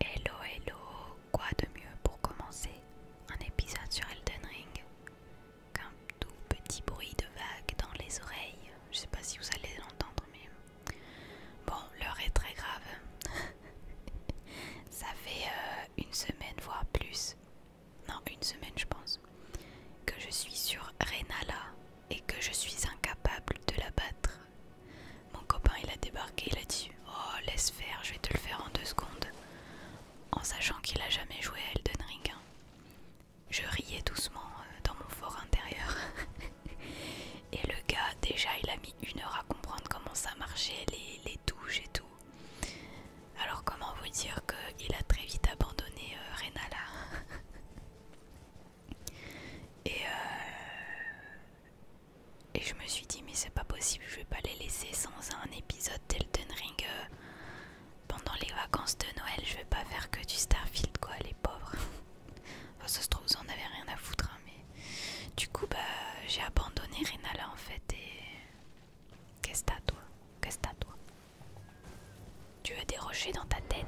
Hello, hello, quoi de mieux pour commencer un épisode sur Elden Ring qu'un tout petit bruit de vague dans les oreilles. Je sais pas si vous allez l'entendre, mais bon, l'heure est très grave. Ça fait euh, une semaine, voire plus, non, une semaine, je pense, que je suis sur Rennala et que je suis incapable de la battre. Mon copain il a débarqué, là-dessus Oh laisse faire, je vais te le faire en deux secondes, en sachant qu'il a jamais joué à Elden Ring. Hein. Je riais doucement euh, dans mon fort intérieur. et le gars déjà il a mis une heure à comprendre comment ça marchait, les, les touches et tout. Alors comment vous dire qu'il a très vite abandonné euh, Renala Et euh, et je me suis dit, mais c'est pas possible, je vais pas les laisser sans un épisode d'Elden Ring euh, pendant les vacances de Noël. Je vais pas faire que du Starfield, quoi, les pauvres. enfin, ça se trouve, vous en rien à foutre, hein, mais du coup, bah, j'ai abandonné Renala en fait. Et qu'est-ce t'as, toi Qu'est-ce t'as, toi Tu veux des rochers dans ta tête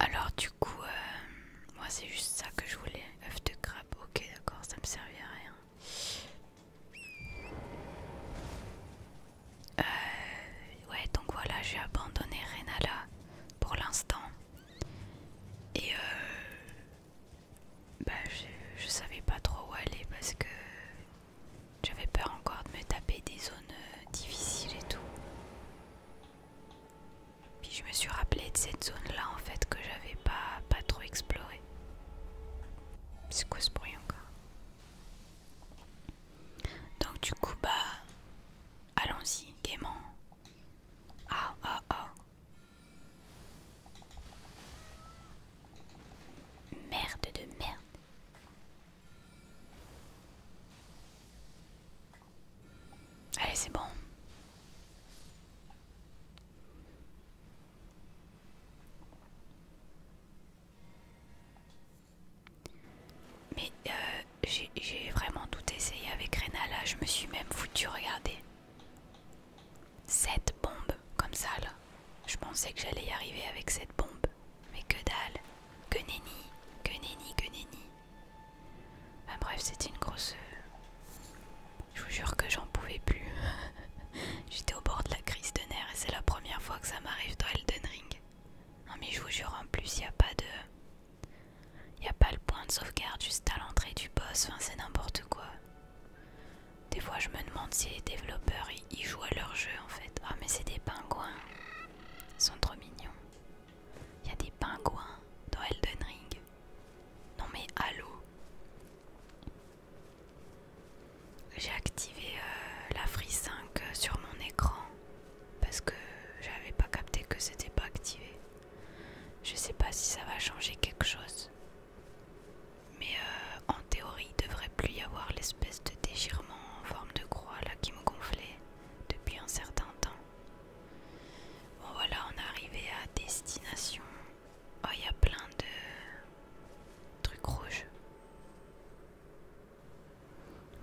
alors du coup, euh, moi c'est juste ça que je voulais, œuf de crabe, ok d'accord, ça me servait à rien. Euh, ouais, donc voilà, j'ai abandonné Renala pour l'instant. Et euh, bah, je, savais pas trop où aller parce que j'avais peur encore de me taper des zones euh, difficiles et tout. Puis je me suis rappelé de cette zone là en fait que j'avais pas, pas trop exploré. C'est quoi ce bruit encore Donc du coup bah allons-y gaiement. Ah ah ah. Merde de merde. Allez, c'est bon. Mais euh, j'ai vraiment tout essayé avec Renal là, je me suis même foutu, regardez. Cette bombe, comme ça là. Je pensais que j'allais y arriver avec cette bombe. Mais que dalle. Que nenni, que nenni, que nenni. bref, c'est une grosse... Euh, je vous jure que j'en pouvais plus. J'étais au bord de la crise de nerfs et c'est la première fois que ça m'arrive dans Elden Ring. Non mais je vous jure en plus il a pas de... Il a pas le point de sauvegarde juste à l'entrée du boss, enfin c'est n'importe quoi. Des fois je me demande si les développeurs y jouent à leur jeu en fait. Ah mais c'est des pingouins. Ils sont trop mignons. Il y a des pingouins dans Elden Ring. Non mais allô j'ai activé euh, la Free 5 euh, sur mon écran parce que j'avais pas capté que c'était pas activé. Je sais pas si ça va changer quelque chose, mais euh, en théorie, il devrait plus y avoir l'espèce de déchirement en forme de croix là qui me gonflait depuis un certain temps. Bon voilà, on est arrivé à destination. Oh, il y a plein de trucs rouges.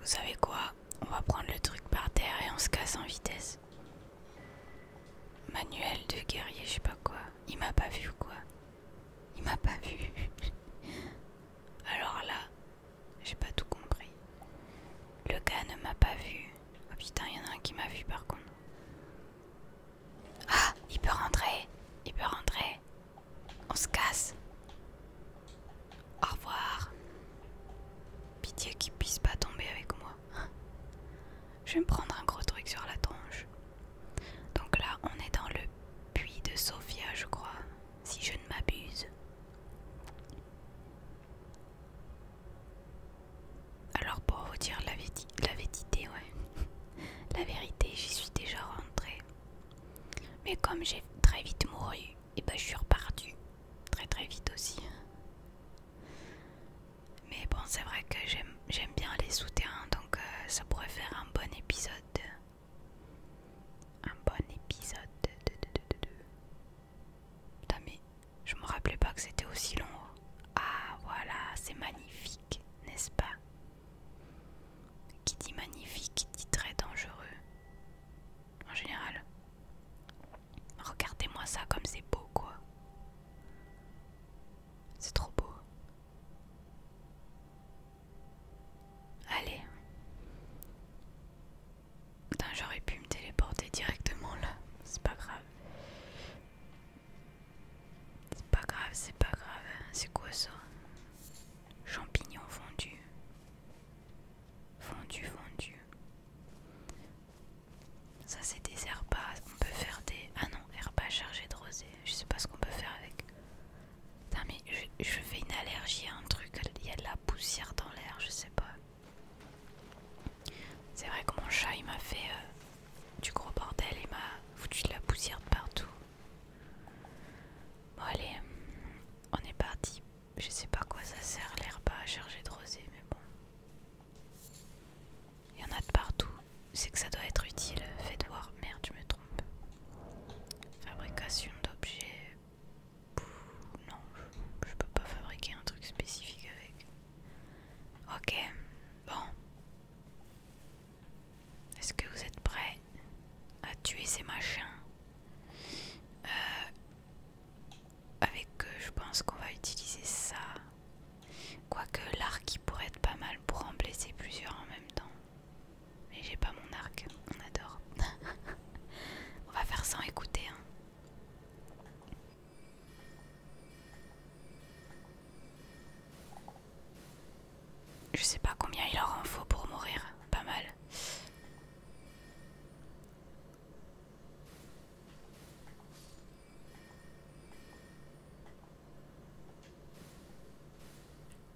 Vous savez quoi On va prendre le truc par terre et on se casse en vitesse. Manuel de guerrier, je sais pas quoi. Il m'a pas vu quoi Il m'a pas vu. Alors là, j'ai pas tout compris. Le gars ne m'a pas vu. Oh putain, il y en a un qui m'a vu par contre. Ah, il peut rentrer. Il peut rentrer. On se casse. Au revoir. Pitié qu'il puisse pas tomber avec moi. Je vais me prendre un gros truc sur la tronche. Donc là, on est dans le puits de Sofia, je crois, si je ne m'abuse. Alors pour vous dire la, vérité, la ouais. la vérité, j'y suis déjà rentrée. Mais comme j'ai très vite mouru, et eh ben je suis repartue. Très très vite aussi. Mais bon, c'est vrai que j'aime bien les souterrains, donc euh, ça pourrait faire un bon épisode. Un bon épisode de... Putain mais je me rappelais pas que c'était aussi long ah voilà, c'est magnifique, n'est-ce pas Qui dit magnifique dit très dangereux. En général. Regardez-moi ça comme c'est beau quoi. C'est trop beau. Allez. Putain, j'aurais pu me téléporter directement là. C'est pas grave. C'est pas grave, c'est pas grave. C'est quoi ça Champignons fondus. Fondu, fondu. Ça, c'est des herbas. On peut faire des. Ah non, herbas chargé de rosée. Je sais pas ce qu'on peut faire avec. Putain, mais je, fais une allergie à un truc. Il y a de la poussière dans l'air, je sais pas. C'est vrai que mon chat, il m'a fait. Euh, du gros bordel et m'a foutu de la poussière de partout. Bon allez, on est parti. Je sais pas quoi ça sert l'herbe à charger de rosée, mais bon. Il y en a de partout. C'est que ça doit être utile. Faites voir. Merde, je me trompe. Fabrication d'objets. Non, je peux pas fabriquer un truc spécifique avec. Ok, bon, est-ce que vous êtes prêts à tuer ces machins euh, Avec eux, je pense qu'on va utiliser ça. Quoique l'arc il pourrait être pas mal pour en blesser plusieurs en même temps. Mais j'ai pas mon arc, on adore. on va faire sans écouter. Hein. Je sais pas combien il leur en faut pour mourir, pas mal.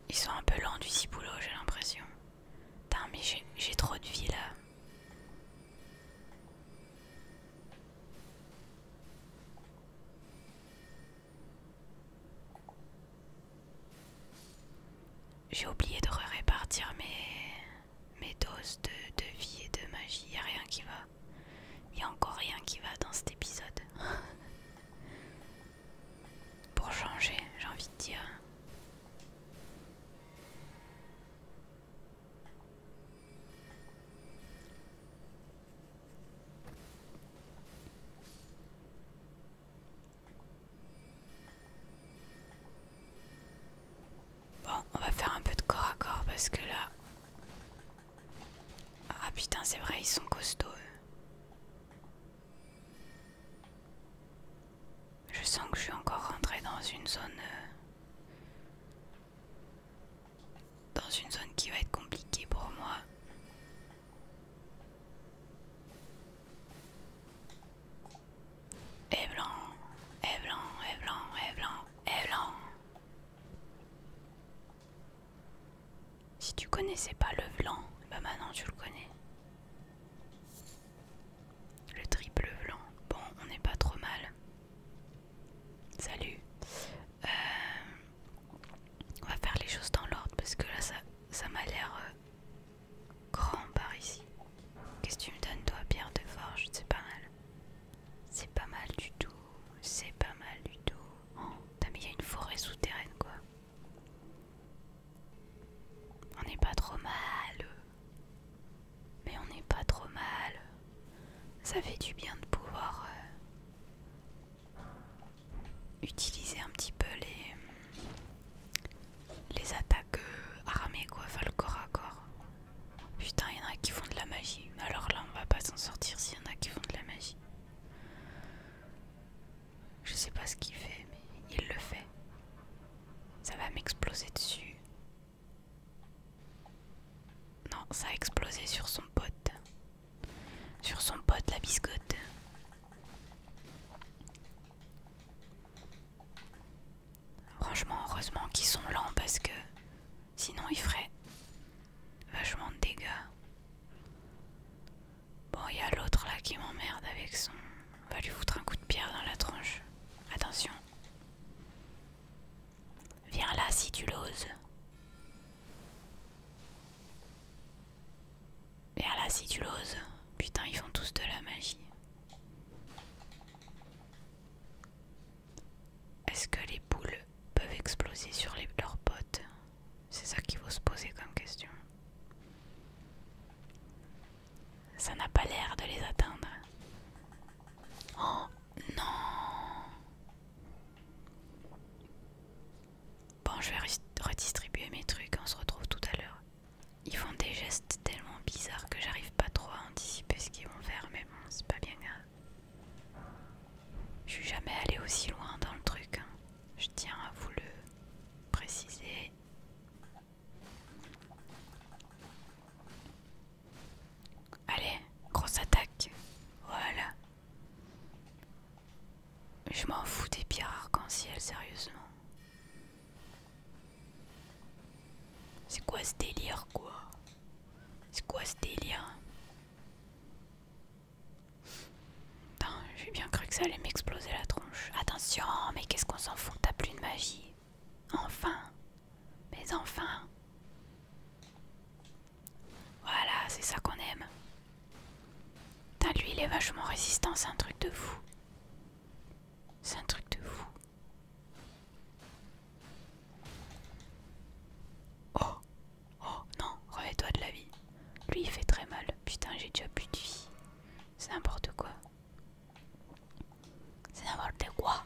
Ils sont un peu lents du ciboulot, j'ai l'impression. Putain, mais j'ai trop de vie là. J'ai oublié de répartir mes, doses de, vie et de magie. Il a rien qui va. Il n'y a encore rien qui va dans cet épisode. Pour changer, j'ai envie de dire. Bon, on va faire un peu de corps à corps parce que là... Ah putain, c'est vrai, ils sont costauds. Je sens que je suis encore rentrée dans une zone... Euh, dans une zone qui va être compliquée pour moi. Et blanc, et blanc, et blanc, et blanc, et blanc. Si tu connaissais pas le blanc, bah maintenant tu le connais. Le triple blanc. Bon, on n'est pas trop mal. Salut. Euh, on va faire les choses dans l'ordre parce que là ça, m'a l'air euh, grand par ici. Qu'est-ce que tu me donnes toi, pierre de forge C'est pas mal. C'est pas mal du tout. C'est pas mal du tout. Oh, mais il y a une forêt souterraine quoi. On n'est pas trop mal. Mais on n'est pas trop mal ça fait du bien de pouvoir euh, utiliser un petit peu les, les attaques euh, armées, quoi, le corps à corps. Putain, il y en a qui font de la magie. Alors là, on va pas s'en sortir s'il y en a qui font de la magie. Je sais pas ce qu'il fait, mais il le fait. Ça va m'exploser dessus. Non, ça a explosé sur son pote. Sur son pote, la biscotte. Franchement, heureusement qu'ils sont lents parce que sinon ils feraient vachement de dégâts. Bon, il y a l'autre là qui m'emmerde avec son. On va lui foutre un coup de pierre dans la tranche. Attention. Viens là si tu l'oses. Viens là si tu l'oses. Putain, ils font tous de la magie. Est-ce que les boules peuvent exploser sur leurs potes C'est ça qu'il faut se poser comme question. Ça n'a pas l'air de les atteindre. Oh, non. Bon, je vais redistribuer mes trucs, on se retrouve tout à l'heure. Ils font des gestes tellement bizarres que j'arrive pas trop à anticiper ce qu'ils vont faire, mais bon, c'est pas bien grave. Je suis jamais allée aussi loin dans le truc, hein. je tiens à vous le préciser. Allez, grosse attaque. Voilà. Je m'en fous des pierres arc-en-ciel, sérieusement. C'est quoi ce délire, quoi C'est quoi ce délire Attends, j'ai bien cru que ça allait m'exploser la tronche. Attention, mais qu'est-ce qu'on s'en fout T'as plus de magie. Enfin, mais enfin Voilà, c'est ça qu'on aime. Putain, lui, il est vachement résistant, c'est un truc de fou. C'est un truc de fou. Oh Oh non, revêt toi de la vie. Lui, il fait très mal. Putain, j'ai déjà plus de vie. C'est n'importe quoi. C'est n'importe quoi.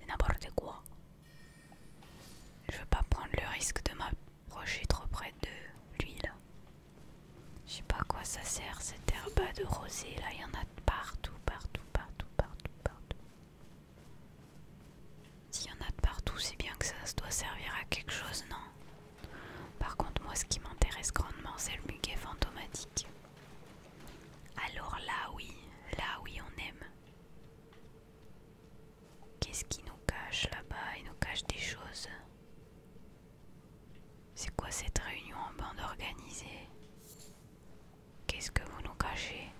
C'est n'importe quoi. Je veux pas prendre le risque de m'approcher trop près de lui là. Je sais pas à quoi ça sert cette herbe de rosée là, il y en a partout, partout, partout, partout, partout. S'il y en a de partout, c'est bien que ça se doit servir à quelque chose, non Par contre, moi, ce qui m'intéresse grandement, c'est le muguet fantomatique. Alors là, oui, là, oui, on aime. Qu'est-ce qui nous cache là-bas Il nous cache des choses. C'est quoi cette réunion en bande organisée Qu'est-ce que vous nous cachez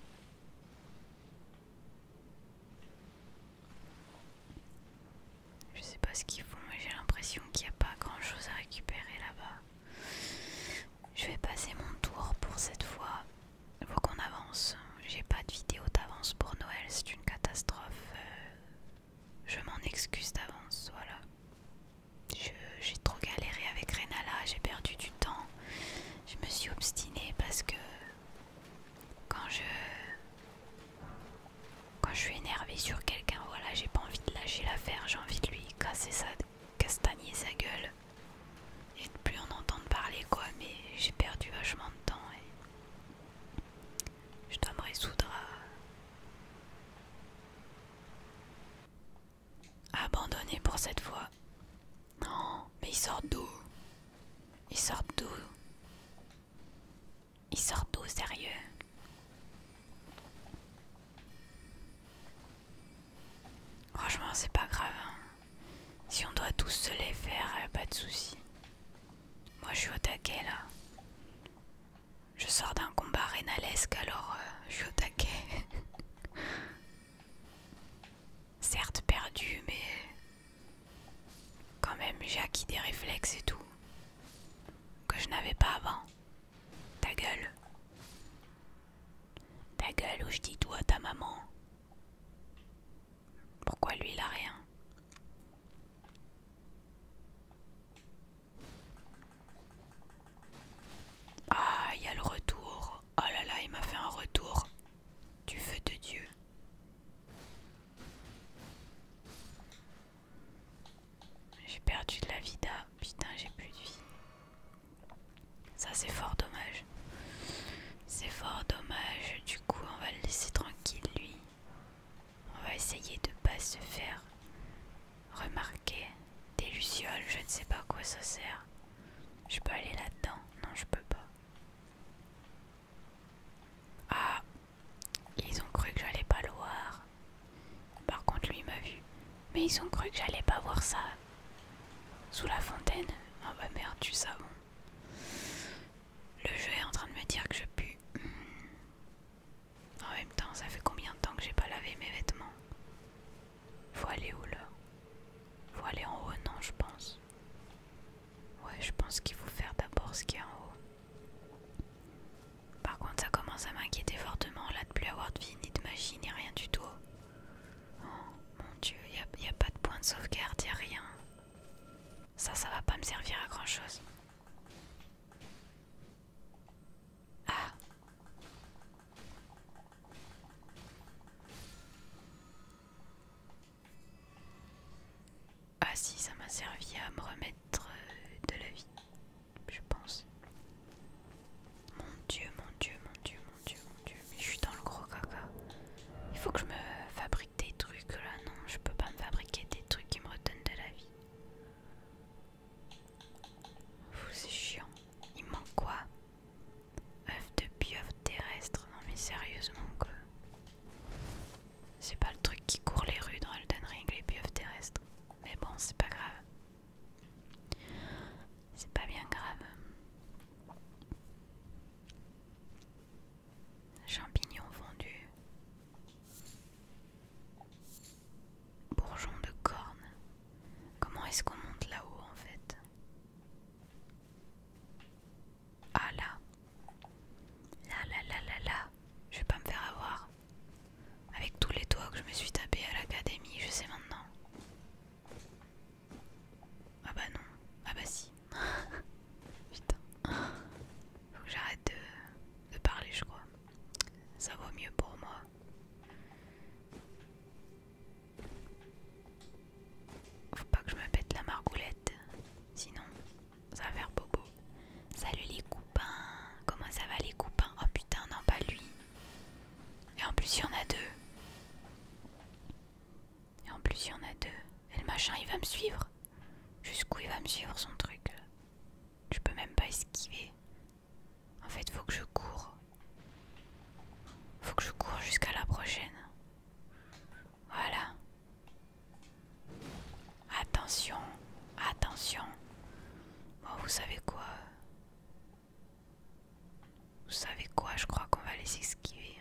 Je sais pas ce qu'ils font, mais j'ai l'impression qu'il n'y a pas grand chose à récupérer là-bas. Je vais passer mon tour pour cette fois. Faut qu'on avance. J'ai pas de vidéo d'avance pour Noël, c'est une catastrophe. Euh, je m'en excuse d'avance, voilà. J'ai trop galéré avec Renala, j'ai perdu du temps. Je me suis obstinée parce que quand je quand je suis énervée sur quelqu'un, voilà, j'ai pas envie de lâcher l'affaire, j'ai envie de lui casser ça castagner sa gueule et de plus en entendre parler quoi mais j'ai perdu vachement de temps et je dois me résoudre à abandonner pour cette fois non mais il sort d'où Il sortent d'où Il sort d'où sérieux Franchement, c'est pas grave. Hein. Si on doit tous se les faire, euh, pas de souci. Moi, je suis au taquet là. Je sors d'un combat rénalesque, alors euh, je suis au taquet. Certes perdu, mais quand même j'ai acquis des réflexes et tout que je n'avais pas avant. Ta gueule. Ta gueule je dis tout à ta maman. Pourquoi lui il a rien Ah, il y a le retour. Oh là là, il m'a fait un retour du feu de Dieu. J'ai perdu de la vida. Putain, j'ai plus de vie. Ça c'est fort dommage. C'est fort dommage. Du coup, on va le laisser tranquille lui. On va essayer de pas se faire remarquer. Des lucioles, je ne sais pas à quoi ça sert. Je peux aller là-dedans Non, je peux pas. Ah Ils ont cru que j'allais pas le voir. Par contre, lui m'a vu. Mais ils ont cru que j'allais pas voir ça. Euh, sous la fontaine Ah bah merde, tu savons. Le jeu est en train de me dire que je pue. En même temps, ça fait combien de temps que j'ai pas lavé mes vêtements Faut aller où là Faut aller en haut, non, je pense. Ouais, je pense qu'il faut faire d'abord ce qui est en haut. Par contre, ça commence à m'inquiéter fortement là de plus avoir de vie, ni de magie, ni rien du tout. Oh mon dieu, il n'y a, pas de point de sauvegarde, il a rien. Ça, ça va pas me servir à grand chose. Ah Ah si, ça m'a servi à me remettre euh, de la vie, je pense. Mon dieu, mon dieu, mon dieu, mon dieu, mon dieu, mais je suis dans le gros caca. Il faut que je me fabrique des trucs là, non, je peux pas me fabriquer des trucs qui me redonnent de la vie. C'est chiant. Il manque quoi Oeuf de pieuvre terrestre. Non mais sérieusement que... C'est pas le truc qui court les rues dans Elden Ring, les pieuvres terrestres. Mais bon, c'est pas grave. C'est pas bien grave. Champignons fondus. Bourgeon de corne. Comment est-ce qu'on monte là-haut en fait Ah là. Là là là là là. Je vais pas me faire avoir. Avec tous les toits que je me suis tapé à l'académie, je sais maintenant. Ah bah non. Ah bah si. Putain. Faut que j'arrête de, parler, je crois. Ça vaut mieux pour moi. Faut pas que je me pète la margoulette. Sinon, ça va faire bobo. Salut les coupins. Comment ça va les coupins Oh putain, non, pas lui. Et en plus, il y en a deux. Et en plus, il y en a deux. Et le machin, il va me suivre. Jusqu'où il va me suivre son truc là. Je peux même pas esquiver. En fait, faut que je cours. Faut que je cours jusqu'à la prochaine. Voilà. Attention, attention. Bon, vous savez quoi vous savez quoi, je crois qu'on va les esquiver.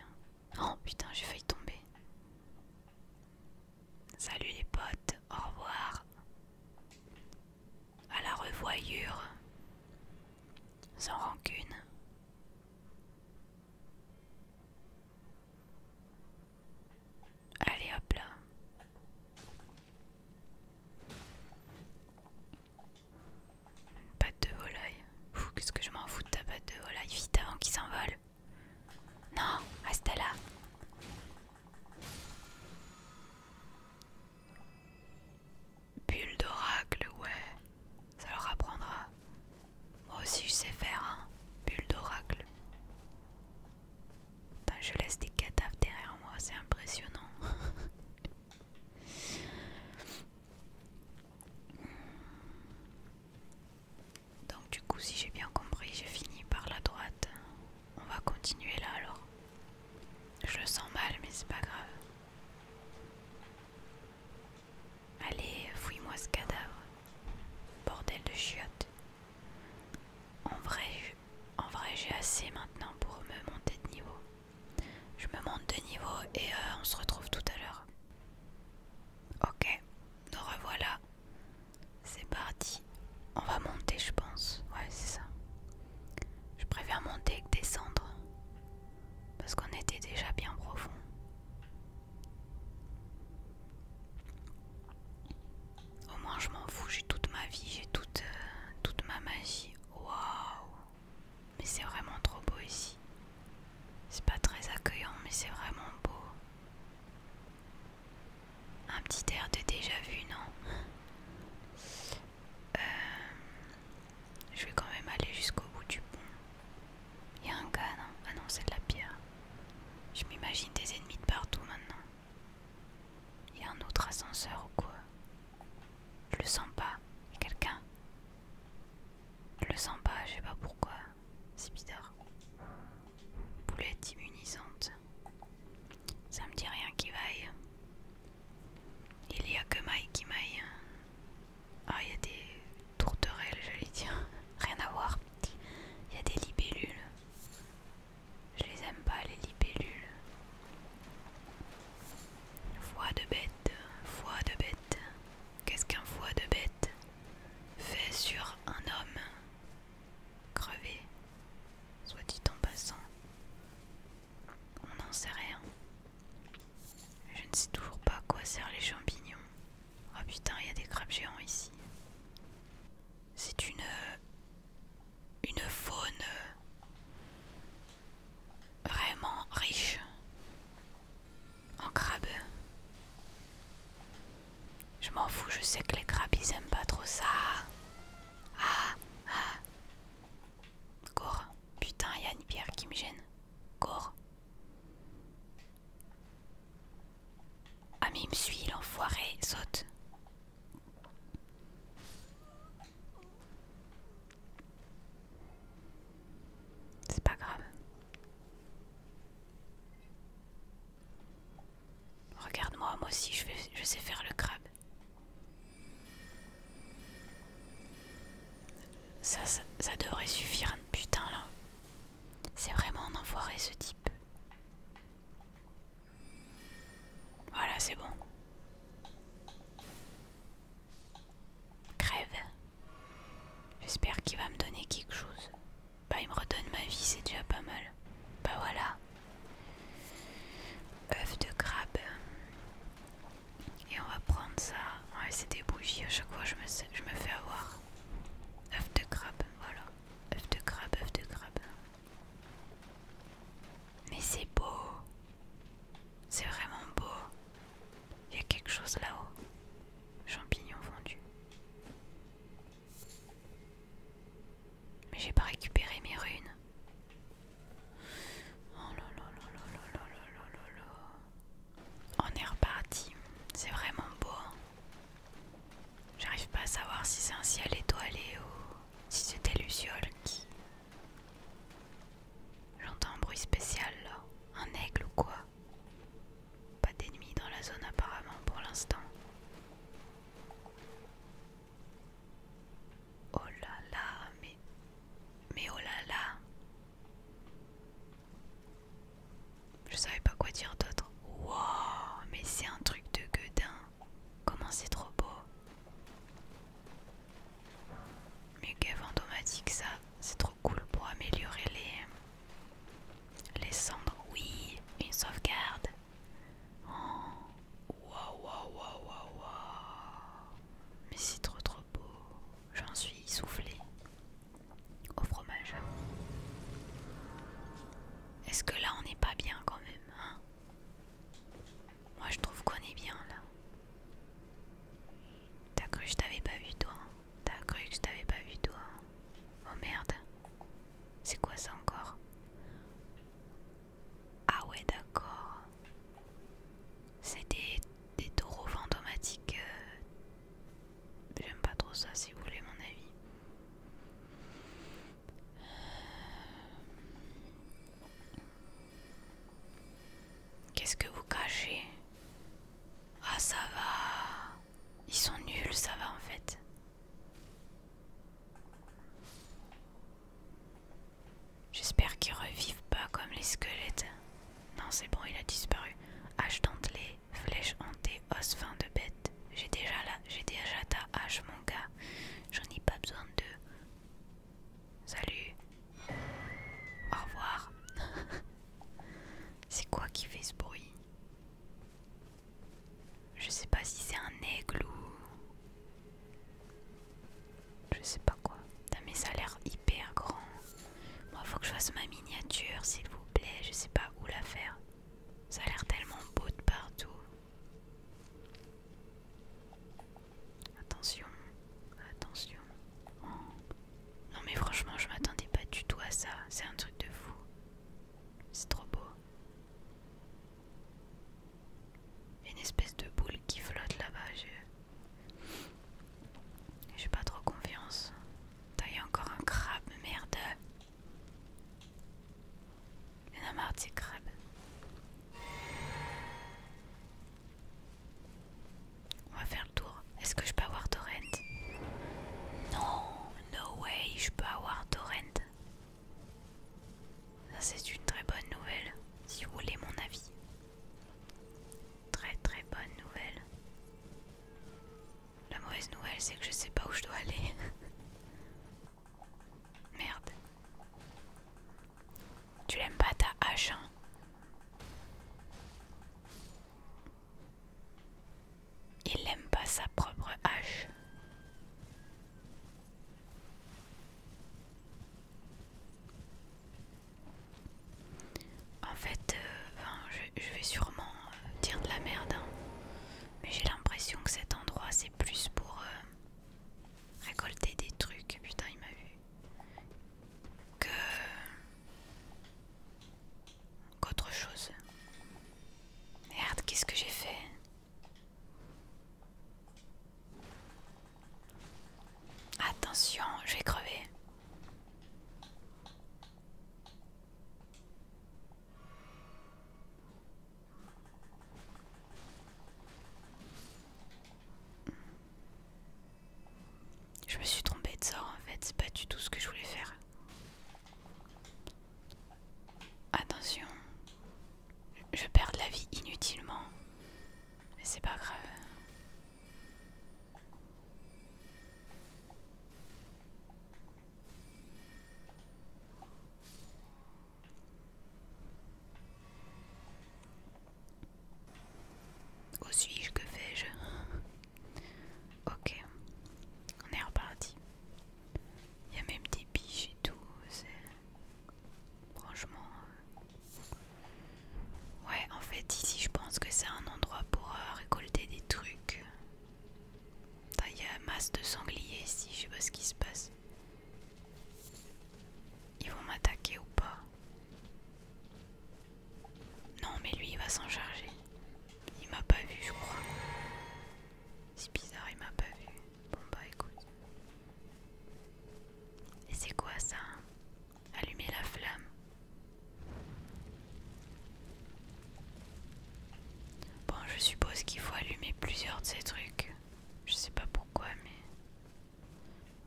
Hein. Oh putain, j'ai failli tomber. Salut les potes, au revoir. À la revoyure. Sans rancune. Allez hop là patte de volaille. Qu'est-ce que je m'en fous de ta pâte de volaille Vite avant qu'il s'envole. Non, reste là. Bulle d'oracle, ouais. Ça leur apprendra. Moi aussi je sais faire, hein. Bulle d'oracle. Je laisse des cadavres derrière moi, c'est impressionnant. Donc du coup si j'ai bien compris j'ai fini par la droite. On va continuer là alors. Je le sens mal mais c'est pas grave. Allez, fouille-moi ce cadavre. Bordel de chiottes. En vrai, en vrai j'ai assez maintenant pour me monter de niveau. Je me monte de niveau et euh, on se retrouve tout à l'heure. Ok, nous revoilà. C'est parti. On va monter, je pense. Ouais, c'est ça. Je préfère monter que descendre. Parce qu'on était déjà bien profond. Au moins, je m'en fous. J'ai toute ma vie, j'ai toute, euh, toute ma magie. Waouh! Mais c'est vraiment trop beau ici. C'est pas très accueillant, mais c'est vraiment beau. Un petit air de déjà vu, non euh, Je vais quand même aller jusqu'au bout du pont. Il y a un gars, non Ah non, c'est de la pierre. Je m'imagine des ennemis de partout maintenant. Il y a un autre ascenseur ou quoi je le sens pas. Il quelqu'un. Je le sens pas, je sais pas pourquoi. C'est bizarre. Boulette immunisante. Ça me dit rien qui vaille. Il y a que maille qui maille. Ah, il y a des tourterelles, j'allais dire. Rien à voir. Il y a des libellules. Je les aime pas, les libellules. Foi de bête, foie de bête. Qu'est-ce qu'un foie de bête fait sur un homme crevé, soit dit en passant. On n'en sait rien. Je ne sais toujours pas à quoi servent les champignons. Oh putain, il y a des crabes géants ici. C'est une. Euh, une faune vraiment riche en crabes. Je m'en fous, je sais que les crabes ils aiment pas trop ça. Ah, ah. Cours. Putain, il y a une pierre qui me gêne. Cours. Ah mais il me suit, l'enfoiré, saute. C'est pas grave. Regarde-moi, moi aussi je, vais, je sais faire le crabe. Ça, ça, devrait suffire, putain là. C'est vraiment un enfoiré ce type. Voilà, c'est bon. Crève. J'espère qu'il va me donner quelque chose. Bah il me redonne ma vie, c'est déjà pas mal. Bah voilà. Œuf de crabe. Et on va prendre ça. Ouais c'est des bougies, à chaque fois je me, je me fais avoir. Oeuf de crabe, voilà. Oeuf de crabe, oeuf de crabe. Mais c'est beau. C'est vraiment beau. Il y a quelque chose là-haut. Champignons vendus. Mais j'ai pas récupéré mes runes. Oh On est reparti. C'est vraiment beau. Hein. J'arrive pas à savoir si c'est un ciel étoilé ou si c'était Luciole qui J'entends un bruit spécial là. Un aigle ou quoi Pas d'ennemis dans la zone apparemment pour l'instant. Oh là là, mais... Mais oh là là Je savais pas quoi dire d'autre. Wow, mais c'est un truc de gueudin. Comment c'est trop beau mais Muguet fantomatique ça, c'est trop cool pour améliorer les, les cendres. Oui, une sauvegarde. Oh. waouh, waouh, waouh, Mais c'est trop trop beau. J'en suis soufflé. Au fromage. Est-ce que là on n'est pas bien quand même hein moi je trouve qu'on est bien là. T'as cru que je t'avais pas vu toi T'as cru que je t'avais pas vu toi Oh merde. C'est quoi ça encore Ah ouais d'accord. C'est des, taureaux fantomatiques. Euh, j'aime pas trop ça si vous voulez mon avis. Qu'est-ce que vous cachez Ah ça va. Ils sont nuls, ça va en fait. J'espère qu'ils revivent pas comme les squelettes. Non, c'est bon, il a disparu. Hache dentelée, flèche hantée, os fin de bête. J'ai déjà là j'ai déjà ta hache, mon gars. J'en ai pas besoin d'eux Salut. Au revoir. c'est quoi qui fait ce bruit Je sais pas si c'est un aigle ou... Je sais pas quoi. Non mais ça a l'air hyper grand. Moi, faut que je fasse ma miniature, s'il vous plaît. Je sais pas où la faire. Ça a l'air tellement beau de partout. Attention, attention. Oh. Non mais franchement, je m'attendais pas du tout à ça. C'est un truc de fou. C'est trop beau. Il y a une espèce de boule qui flotte là-bas. J'ai pas trop confiance. Il y encore un crabe, merde. Il y en a on va faire le tour. Est-ce que je peux avoir Torrent Non, no way, je peux avoir Torrent. Ça c'est une très bonne nouvelle, si vous voulez mon avis. Très très bonne nouvelle. La mauvaise nouvelle c'est que je sais pas où je dois aller. Merde. Tu l'aimes pas ta hache hein. Il n'aime pas sa propre hache. En fait, euh, je, vais sûrement euh, dire de la merde, hein. mais j'ai l'impression que cet endroit c'est plus pour euh, récolter des trucs. Putain, il m'a vu que qu'autre chose. Merde, qu'est-ce que j'ai fait Attention, j'ai crevé. Je me suis trompée de sort en fait, c'est pas du tout ce que je voulais faire. Attention, je perds de la vie inutilement, mais c'est pas grave. Où suis-je Que fais-je Ok, on est reparti. Il y a même des piches et tout. Franchement. Euh, ouais, en fait, ici je pense que c'est un endroit pour euh, récolter des trucs. Il y a masse de sangliers ici, je sais pas ce qui se passe. Ils vont m'attaquer ou pas Non mais lui il va s'en charger. Il m'a pas vu je crois. C'est bizarre, il m'a pas vu. Bon bah écoute. Et c'est quoi ça hein Allumer la flamme. Bon, je suppose qu'il faut allumer plusieurs de ces trucs. Je sais pas pourquoi, mais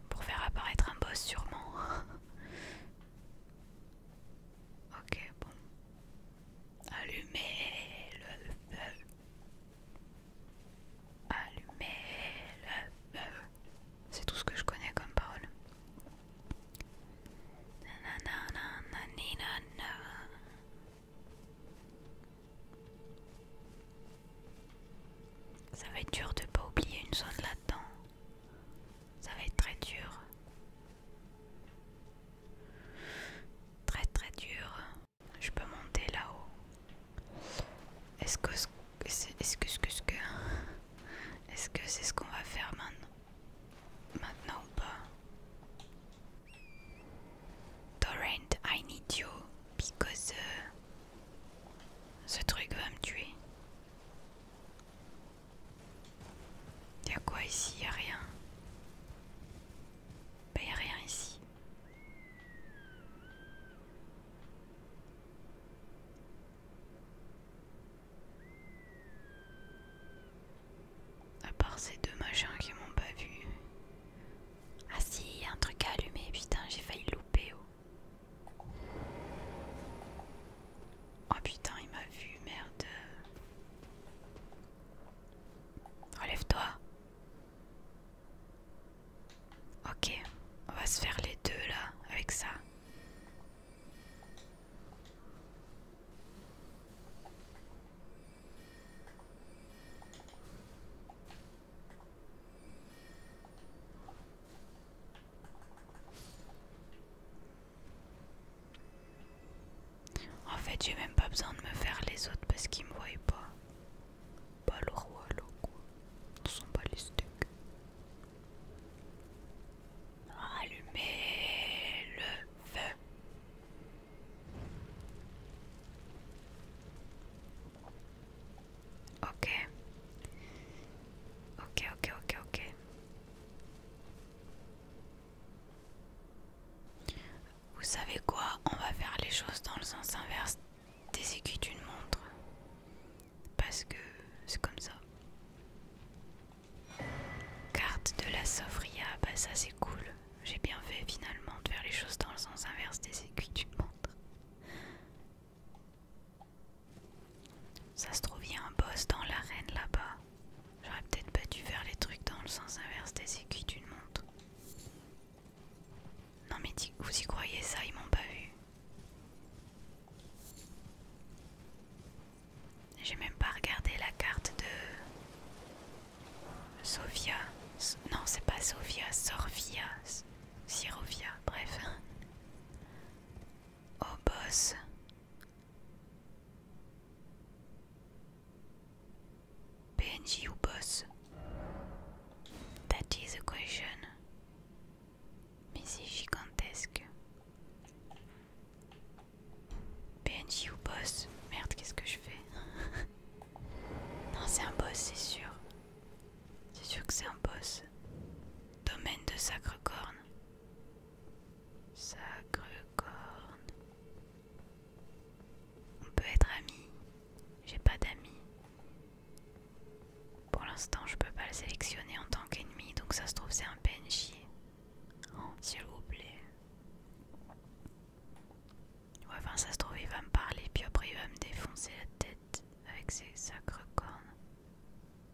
pour faire apparaître un boss sûrement. ok, bon. Allumez le feu. Allumez le feu. C'est tout ce que je connais comme parole. Ça va être dur de pas oublier une zone là-dedans. Ça va être très dur. Très très dur. Je peux monter là-haut. Est-ce que ce que ce ce que est-ce que c'est ce qu'on va faire maintenant Maintenant ou pas Torrent, I need you because euh, ce truc va me tuer. a quoi ici a rien. Ben, rien ici. À part ces deux machins qui m'ont pas vu. Ah si, y a un truc à allumer, putain, j'ai failli louper. Oh. oh. putain, il m'a vu, merde. Relève-toi. Ok, on va se faire les deux là, avec ça. En fait, j'ai même pas besoin de me faire les autres parce qu'ils me voient pas. Pas le roi, l'eau quoi. Ce sont pas les steaks. Allumez le feu. Ok. Ok, ok, ok, ok. Vous savez quoi On va faire les choses dans le sens inverse des aiguilles d'une montre. Parce que c'est comme ça. Carte de la Sofria, bah ça c'est cool. J'ai bien fait finalement de faire les choses dans le sens inverse des aiguilles d'une montre. Ça se trouve, il y a un boss dans l'arène là-bas. J'aurais peut-être pas dû faire les trucs dans le sens inverse des aiguilles d'une montre. Non mais vous y croyez ça, ils m'ont pas vu. J'ai même pas regardé la carte de sophia Non, c'est pas Sofia, Sorvia. Syrovia, bref. Oh boss. PNJ ou boss That is a question. Mais c'est gigantesque. PNJ ou boss Merde, qu'est-ce que je fais Non, c'est un boss, c'est sûr. C'est sûr que c'est un boss. Domaine de Sacre-Corne. Sacre-Corne. On peut être amis. J'ai pas d'amis. Pour l'instant, je peux pas le sélectionner en tant qu'ennemi, donc ça se trouve, c'est un PNJ. Oh, S'il vous plaît. Ouais, enfin, ça se trouve, il va me parler, puis après, il va me défoncer la tête avec ses sacres cornes.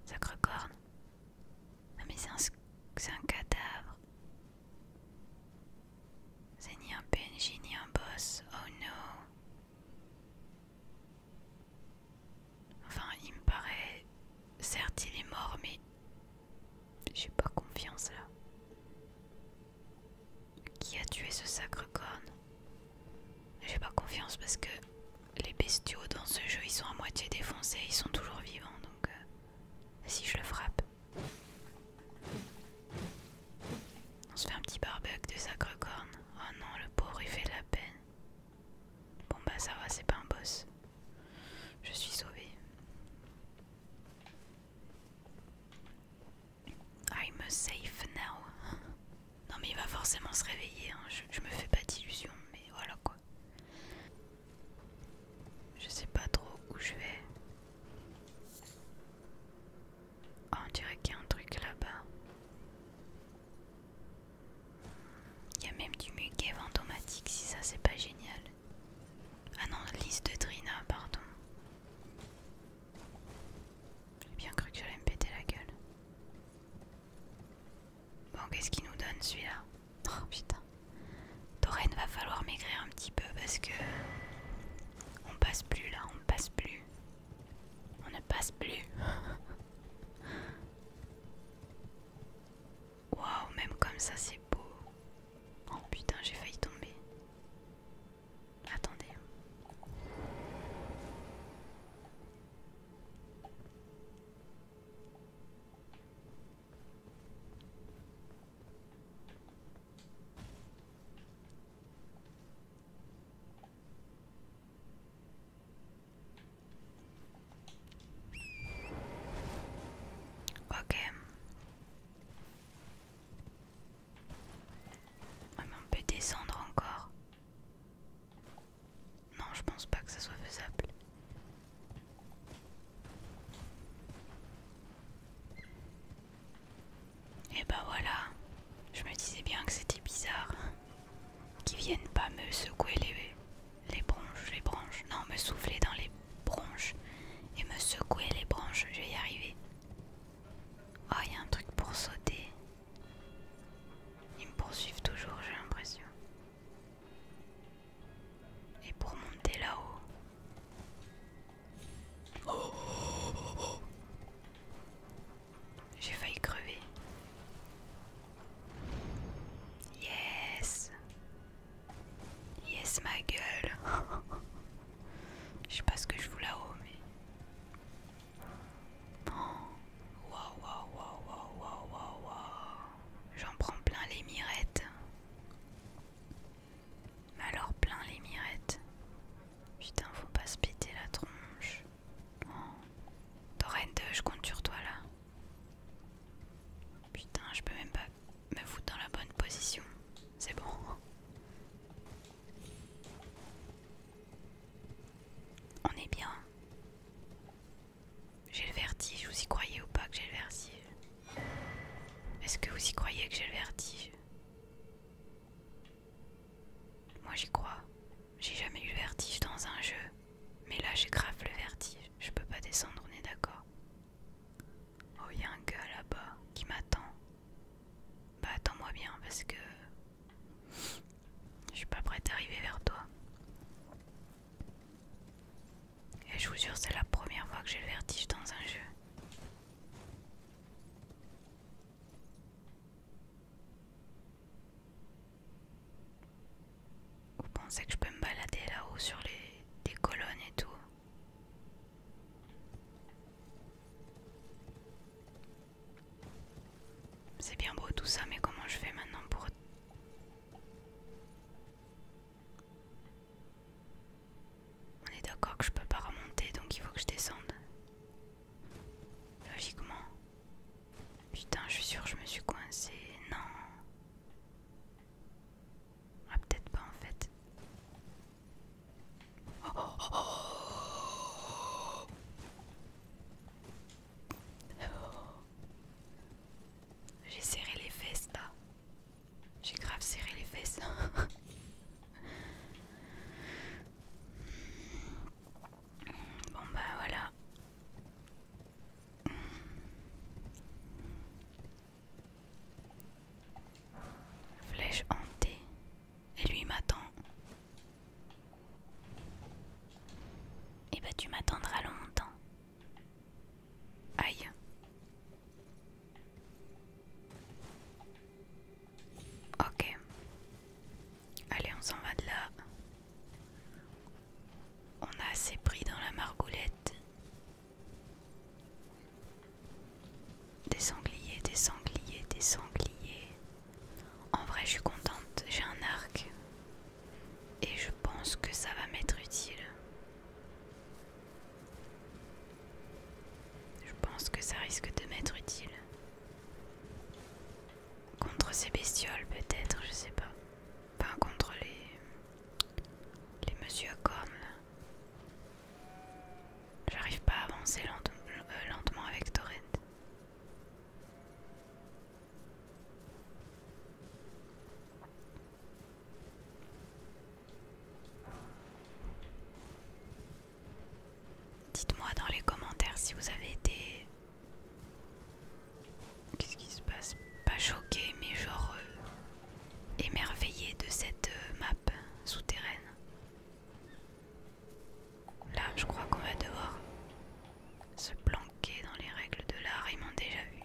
Sacres cornes Non, mais c'est un, un cadavre. C'est ni un PNJ ni un boss. Oh no. Enfin, il me paraît. Certes, il est mort, mais. J'ai pas confiance là. Qui a tué ce sacre corne J'ai pas confiance parce que les bestiaux dans ce jeu ils sont à moitié défoncés, ils sont toujours vivants donc euh, si je le frappe. On se fait un petit barbecue de sacre corne. Oh non, le pauvre il fait la peine. Bon bah ça va, c'est pas un boss. Je suis sauvé. Ah, I'm safe now. Non mais il va forcément se réveiller, hein. je, me fais pas d'illusions, mais voilà quoi. Je sais pas trop où je vais. Oh, on dirait qu'il y a un truc là-bas. Il y a même du muguet automatique, si ça c'est pas génial. Ah non, liste de Trina, pardon. J'ai bien cru que j'allais me péter la gueule. Bon, qu'est-ce qu'il nous donne celui-là Oh putain. Dorène va falloir maigrir un petit peu parce que. On passe plus là, on passe plus. On ne passe plus. Waouh, même comme ça, c'est beau. Oh putain, j'ai failli tomber. Attendez. Ok on peut descendre encore. Non, je pense pas que ça soit faisable. Et bah ben voilà, je me disais bien que c'était bizarre. Qu'ils viennent pas me secouer les, les bronches, les branches. Non, me souffler dans les branches et me secouer les branches, je vais y arriver. Oh, y'a y a un truc pour sauter. Ils me poursuivent toujours, j'ai l'impression. Et pour monter là-haut. oh. J'ai failli crever. Yes Yes ma gueule Je sais pas ce que je voulais, là-haut, mais. Oh, waouh, waouh, waouh, waouh, waouh, waouh. J'en prends plein les mirettes. Mais alors, plein les mirettes. Putain, faut pas se péter la tronche. Oh. je compte sur toi là. Putain, je peux même pas me foutre dans la bonne position. C'est bon. On est bien. J'ai le vertige, vous y croyez ou pas que j'ai le vertige Est-ce que vous y croyez que j'ai le vertige Moi j'y crois. J'ai jamais eu le vertige dans un jeu. Mais là j'ai grave le vertige. Je peux pas descendre, on est d'accord. Oh, il y a un gars là-bas qui m'attend. Bah attends-moi bien parce que je suis pas prête arriver vers toi. Et je vous jure, c'est la première fois que j'ai le vertige dans un jeu. Vous pensez que je peux me balader là-haut sur les des colonnes et tout c'est bien beau tout ça, mais comment je fais maintenant pour... On est d'accord que je peux pas remonter, donc il faut que je descende. Logiquement. Putain, je suis sûre que je me suis coincée. Non. Ah, peut-être pas en fait. J'ai serré les fesses là. J'ai grave serré les fesses. bon bah voilà. Flèche hantée. Et lui m'attend. Eh ben, tu m'attendras longtemps. Aïe. Ok. Allez, on s'en va de là. On a assez pris dans la margoulette. Des sangliers, des sangliers, des sangliers. En vrai, je suis contente, j'ai un arc. Et je pense que ça va m'être utile. Je pense que ça risque de m'être utile. Contre ces bestioles, peut-être, je sais pas. Enfin, contre les. les monsieur cornes. J'arrive pas à avancer euh, lentement avec Torrent. Dites-moi dans les commentaires si vous avez été... Qu'est-ce qui se passe Pas choqué, mais genre euh, émerveillé de cette euh, map souterraine. Là, je crois qu'on va devoir se planquer dans les règles de l'art, ils m'ont déjà vu.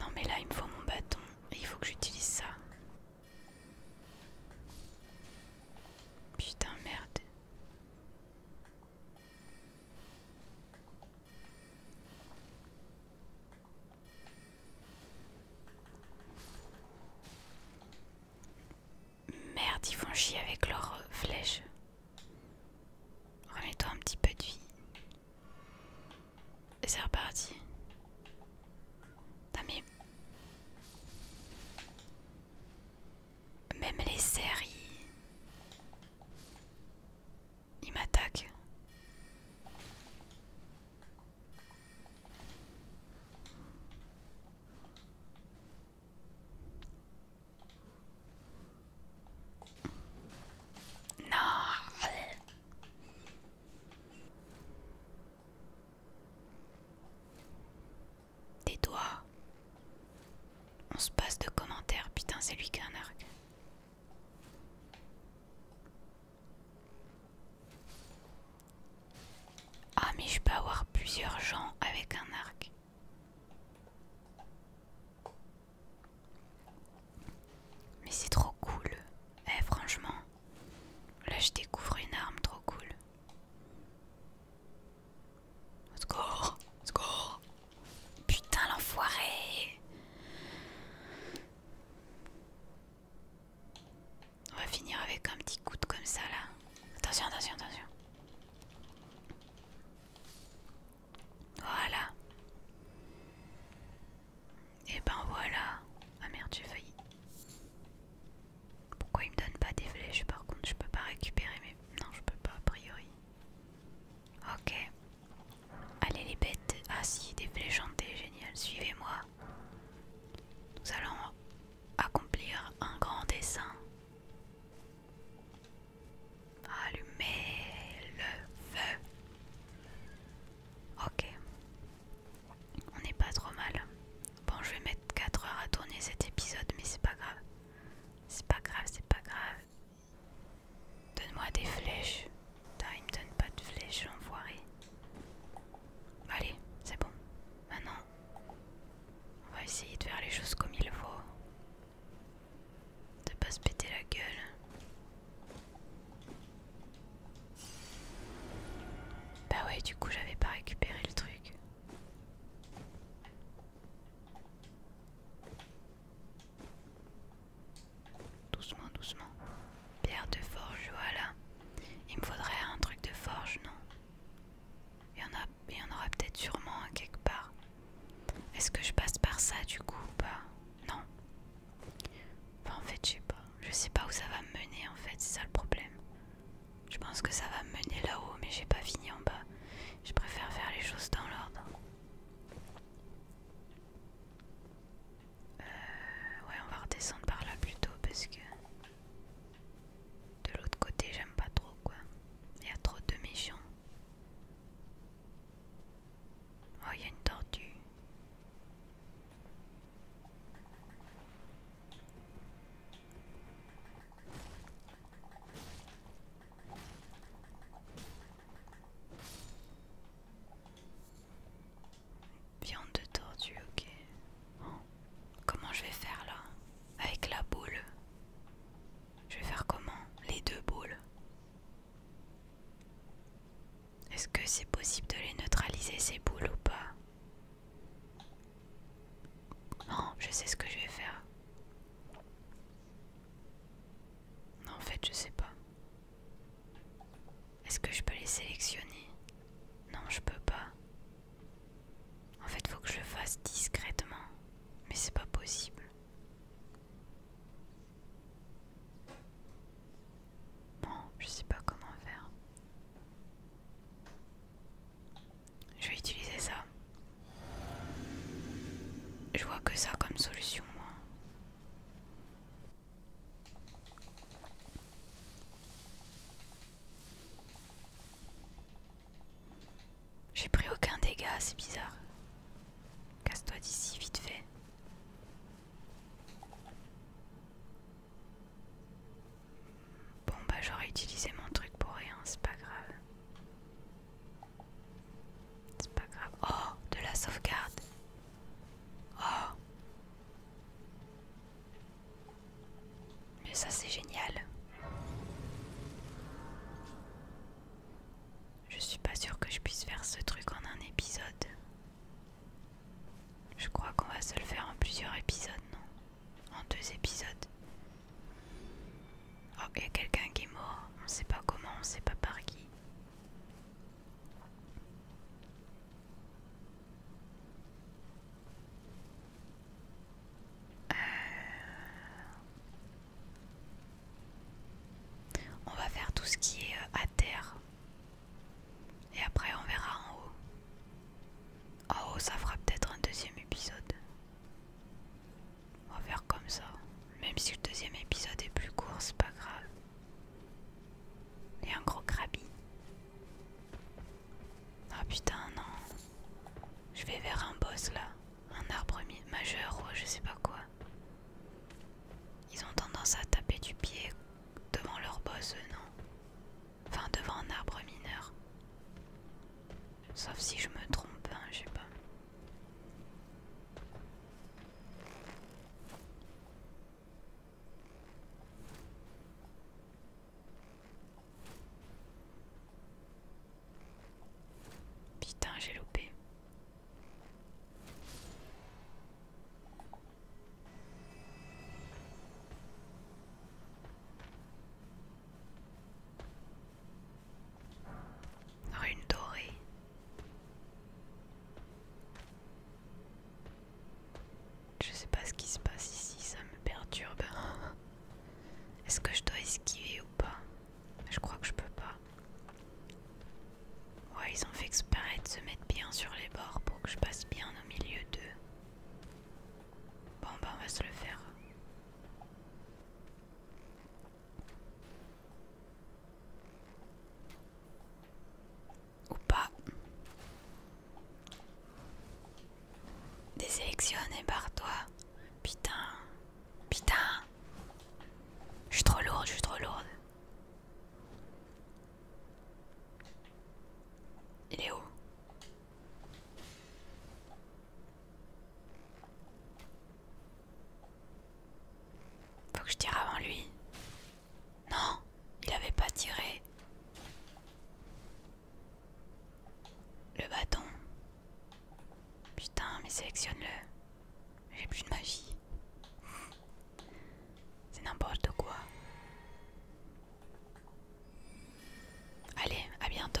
Non mais là, il me faut mon bâton et il faut que j'utilise ça. Putain, merde. Merde, ils font chier avec leurs euh, flèches. Remets-toi un petit peu de vie. c'est reparti. Même les séries. Il m'attaque. Non. Tais-toi. On se passe de commentaires, putain, c'est lui qui a arc. Ah mais je peux avoir plusieurs gens avec un arc. Mais c'est trop cool. Eh franchement, là je découvre une arme trop cool. Score, score. Putain l'enfoiré. On va finir avec un petit de comme ça là. Attention, attention, attention. Voilà. Et eh ben voilà. Ah merde, j'ai failli. Pourquoi il me donne pas des flèches Par contre, je peux pas récupérer mes. Non, je peux pas a priori. Ok. Allez les bêtes. Ah si, des génial. Suivez-moi. Nous allons accomplir un grand dessin, Allumez le feu. Ok. On n'est pas trop mal. Bon, je vais mettre 4 heures à tourner cet épisode, mais c'est pas grave. C'est pas grave, c'est pas grave. Donne-moi des flèches. Putain, il me donne pas de flèches, l'enfoiré. Allez, c'est bon. Maintenant, on va essayer de faire les choses comme il faut. De pas se péter la gueule. Bah ouais, du coup, j'avais pas récupéré le truc. Doucement, doucement. Pierre de forge, voilà. Il me faudrait un truc de forge, non il y, en a, aura peut-être sûrement quelque part. Est-ce que je passe par ça du coup ou pas Non. en fait, je sais pas. Je sais pas où ça va me mener en fait, c'est ça le problème. Je pense que ça va me mener là-haut, mais j'ai pas fini en bas. Je préfère faire les choses dans l'ordre. Euh, ouais, on va redescendre par là plutôt parce que de l'autre côté, j'aime pas trop quoi. Il y a trop de méchants. Oh, il y a une tortue. Viande de tortue, ok. Oh. Comment je vais faire là Avec la boule Je vais faire comment Les deux boules Est-ce que c'est possible de les neutraliser ces boules ou pas Non, je sais ce que je vais faire. en fait, je sais pas. Est-ce que je peux les sélectionner Non, je peux pas. En fait, faut que je le fasse discrètement, mais c'est pas possible. Non, je sais pas comment faire. Je vais utiliser ça. Je vois que ça comme solution, moi. J'ai pris aucun dégât, c'est bizarre. Casse-toi d'ici, vite fait. Bon bah j'aurais utilisé mon truc pour rien, c'est pas grave. C'est pas grave. Oh, de la sauvegarde. Oh Mais ça c'est génial. Je suis pas sûre que je puisse faire ce truc en un épisode. Je crois qu'on va se le faire en plusieurs épisodes, non En deux épisodes. Oh, il y a quelqu'un qui est mort. On sait pas comment, on sait pas par qui. Euh, on va faire tout ce qui est euh, à terre. Et après on verra en haut. En haut ça fera peut-être un deuxième épisode. On va faire comme ça. Même si le deuxième épisode est plus court, c'est pas grave. Et un gros crabi. Ah putain, non. Je vais vers un boss là. Un arbre majeur ou je sais pas quoi. Ils ont tendance à taper du pied devant leur boss, non Enfin, devant un arbre mineur. Sauf si je me trompe, hein, je sais pas. Putain, j'ai loupé. Rune dorée. Je sais pas ce qui se passe ici, ça me perturbe. Est-ce que je dois esquiver ou pas Je crois que je peux pas. Ouais, ils ont fait exprès de se mettre bien sur les bords pour que je passe bien au milieu d'eux. Bon, bah, ben, on va se le faire. Ou pas. désélectionné par toi Putain. Putain. Je suis trop lourde, je suis trop lourde. Il est où faut que je tire avant lui. Non, il avait pas tiré. Le bâton. Putain, mais sélectionne-le. J'ai plus de magie. C'est n'importe quoi. Allez, à bientôt.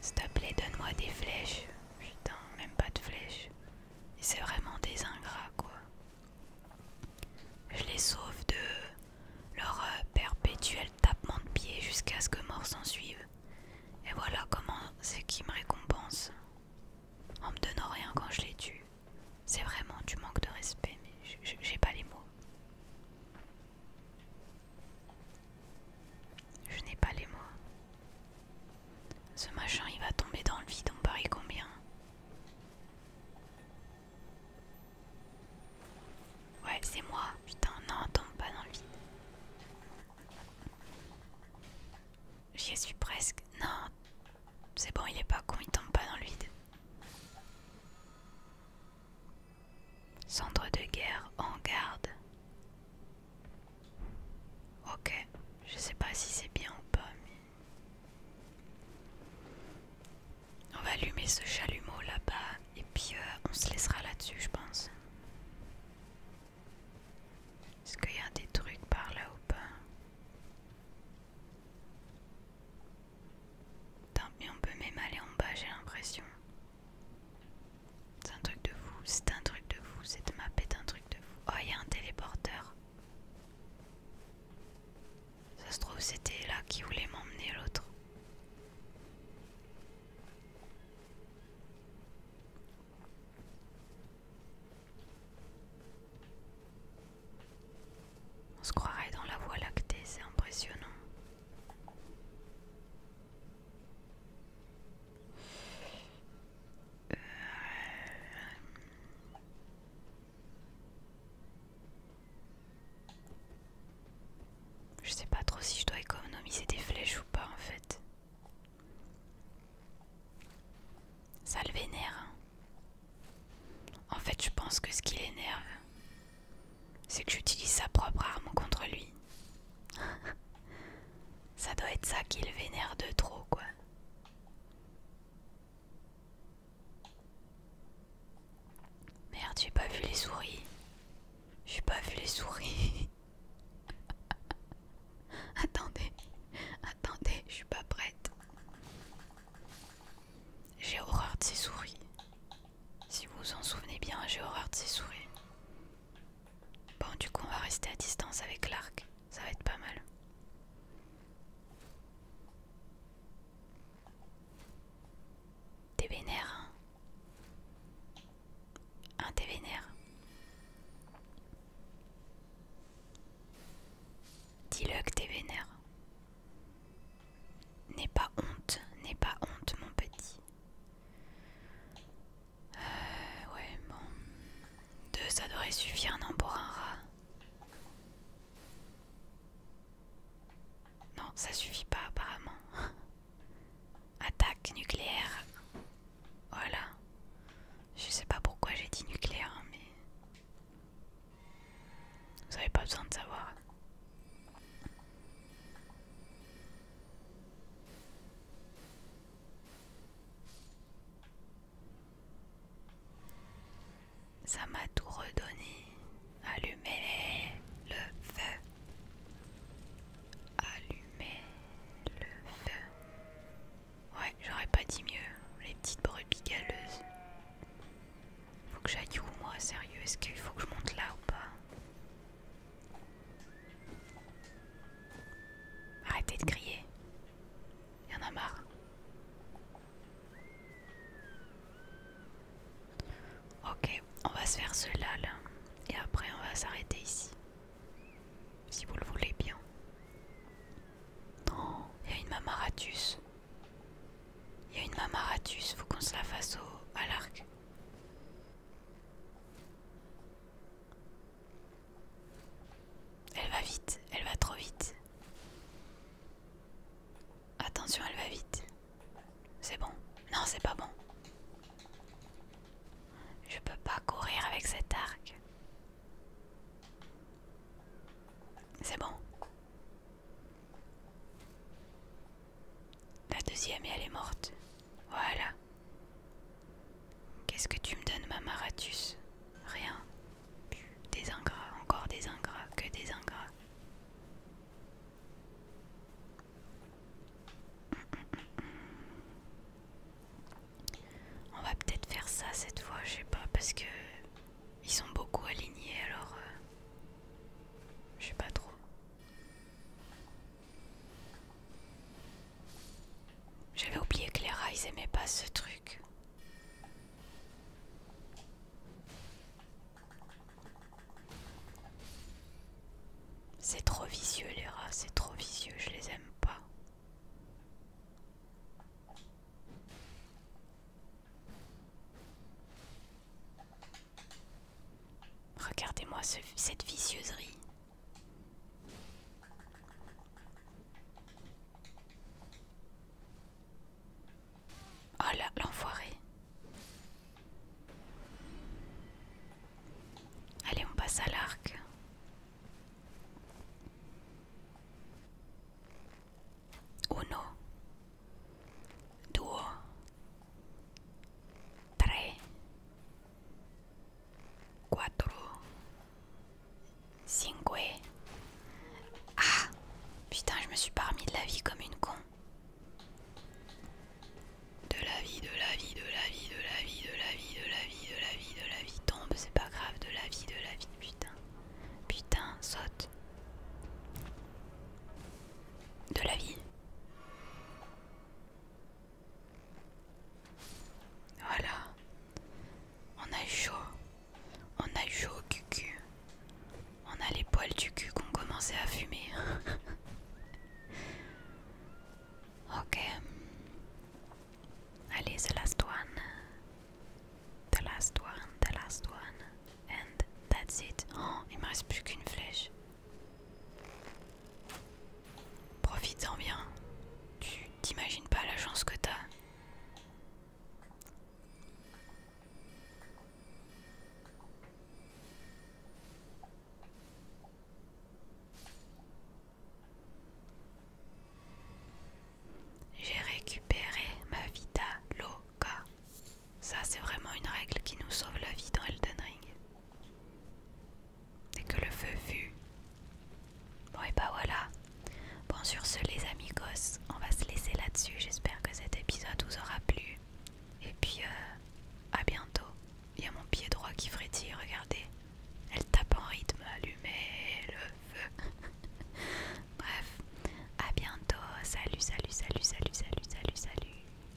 S'il te plaît, donne-moi des flèches. Putain, même pas de flèches. C'est vraiment des ingrats, quoi. Je les sauve de leur euh, perpétuel tapement de pied jusqu'à ce que mort s'en suive. Et voilà comment c'est qui me récompensent, En me donnant rien quand je les tue. C'est vraiment du manque de respect, mais j'ai pas les mots. Je n'ai pas les mots. Ce machin, il va tomber dans le vide, on parie combien Ouais, c'est moi. Putain, non, tombe pas dans le vide. J'y suis presque. Non, c'est bon, il est pas con, il tombe pas dans le vide. Centre de guerre en garde. Ok, je sais pas si c'est bien ou pas, mais. On va allumer ce chalumeau là-bas et puis euh, on se laissera là-dessus, je pense. Est-ce qu'il y a des trucs par là ou pas Tant mais on peut même aller en bas, j'ai l'impression. C'est un truc de fou, c'est un truc de fou, cette map est un truc de fou. Oh, il y a un téléporteur. Ça se trouve, c'était là qui voulait m'emmener l'autre. On se croirait dans la voie lactée, c'est impressionnant. Je sais pas trop si je dois économiser des flèches ou pas en fait. Ça le vénère. Hein. En fait, je pense que ce qui l'énerve, c'est que j'utilise sa propre arme contre lui. ça doit être ça qu'il vénère de trop, quoi. Merde, j'ai pas vu les souris. J'ai pas vu les souris. attendez, attendez, je suis pas prête. J'ai horreur de ces souris. Si vous vous en souvenez bien, j'ai horreur de ces souris. Bon, du coup, on va rester à distance avec l'arc. Ça va être pas mal. T'es vénère, hein Un hein, t'es vénère. Dis-le que t'es vénère. N'aie pas honte, n'aie pas honte, mon petit. Euh, ouais, bon. Deux, ça devrait suffire, non, pour un rat. Non, ça suffit pas, apparemment. Attaque nucléaire. Voilà. Je sais pas pourquoi j'ai dit nucléaire, mais. Vous avez pas besoin de savoir. Ça m'a tout redonné. Allumez le feu. Allumez le feu. Ouais, j'aurais pas dit mieux. Les petites brubis galeuses. Faut que j'aille où moi, sérieux Est-ce qu'il faut que je monte là ou pas Arrêtez de crier. Il y en a marre. Ok, on va se faire cela là. Et après on va s'arrêter ici. Si vous le voulez bien. Non, il y a une mamaratus. Il y a une mamaratus, faut qu'on se la fasse au, à l'arc. Elle va vite, elle va trop vite. Attention, elle va vite. C'est bon. Non, c'est pas bon. Je peux pas courir avec cet arc. C'est bon. La deuxième, et elle est morte. Voilà. Qu'est-ce que tu me donnes, Mamaratus Rien. Des ingrats, encore des ingrats, que des ingrats. On va peut-être faire ça cette fois, je sais pas, parce que ils sont beaucoup alignés alors euh, je sais pas trop. J'avais oublié que les ils aimaient pas ce truc. C'est trop vicieux les rats, c'est trop vicieux, je les aime pas. Regardez-moi cette vicieuse Oh là, l'enfoiré. Allez, on passe à l'arc. Oh non. Deux. Tre Cuatro. Cinque. Ah Putain, je me suis pas remis de la vie comme une con. De la vie, de la vie, de la vie, de la vie, de la vie, de la vie, de la vie, de la vie. Tombe, c'est pas grave, de la vie, de la vie. Putain. Putain, saute. De la vie. Voilà. On a chaud. On a chaud au cul-cul, On a les poils du cul qui ont commencé à fumer. ok. Allez, the last one. The last one, the last one. And that's it. Oh, il me reste plus qu'une flèche. Profites-en bien. Tu t'imagines pas la chance que t'as. J'ai récupéré ma Vita loca. Ça, c'est vraiment une règle qui nous sauve la vie dans Elden Ring. Dès que le feu vu. Bon, et bah voilà. Bon, sur ce, les amigos, on va se laisser là-dessus. J'espère que cet épisode vous aura plu. Et puis, euh, à bientôt. Il y a mon pied droit qui frétille, regardez. Elle tape en rythme, allumez le feu. Bref, à bientôt. Salut, salut, salut, salut, salut, salut, salut.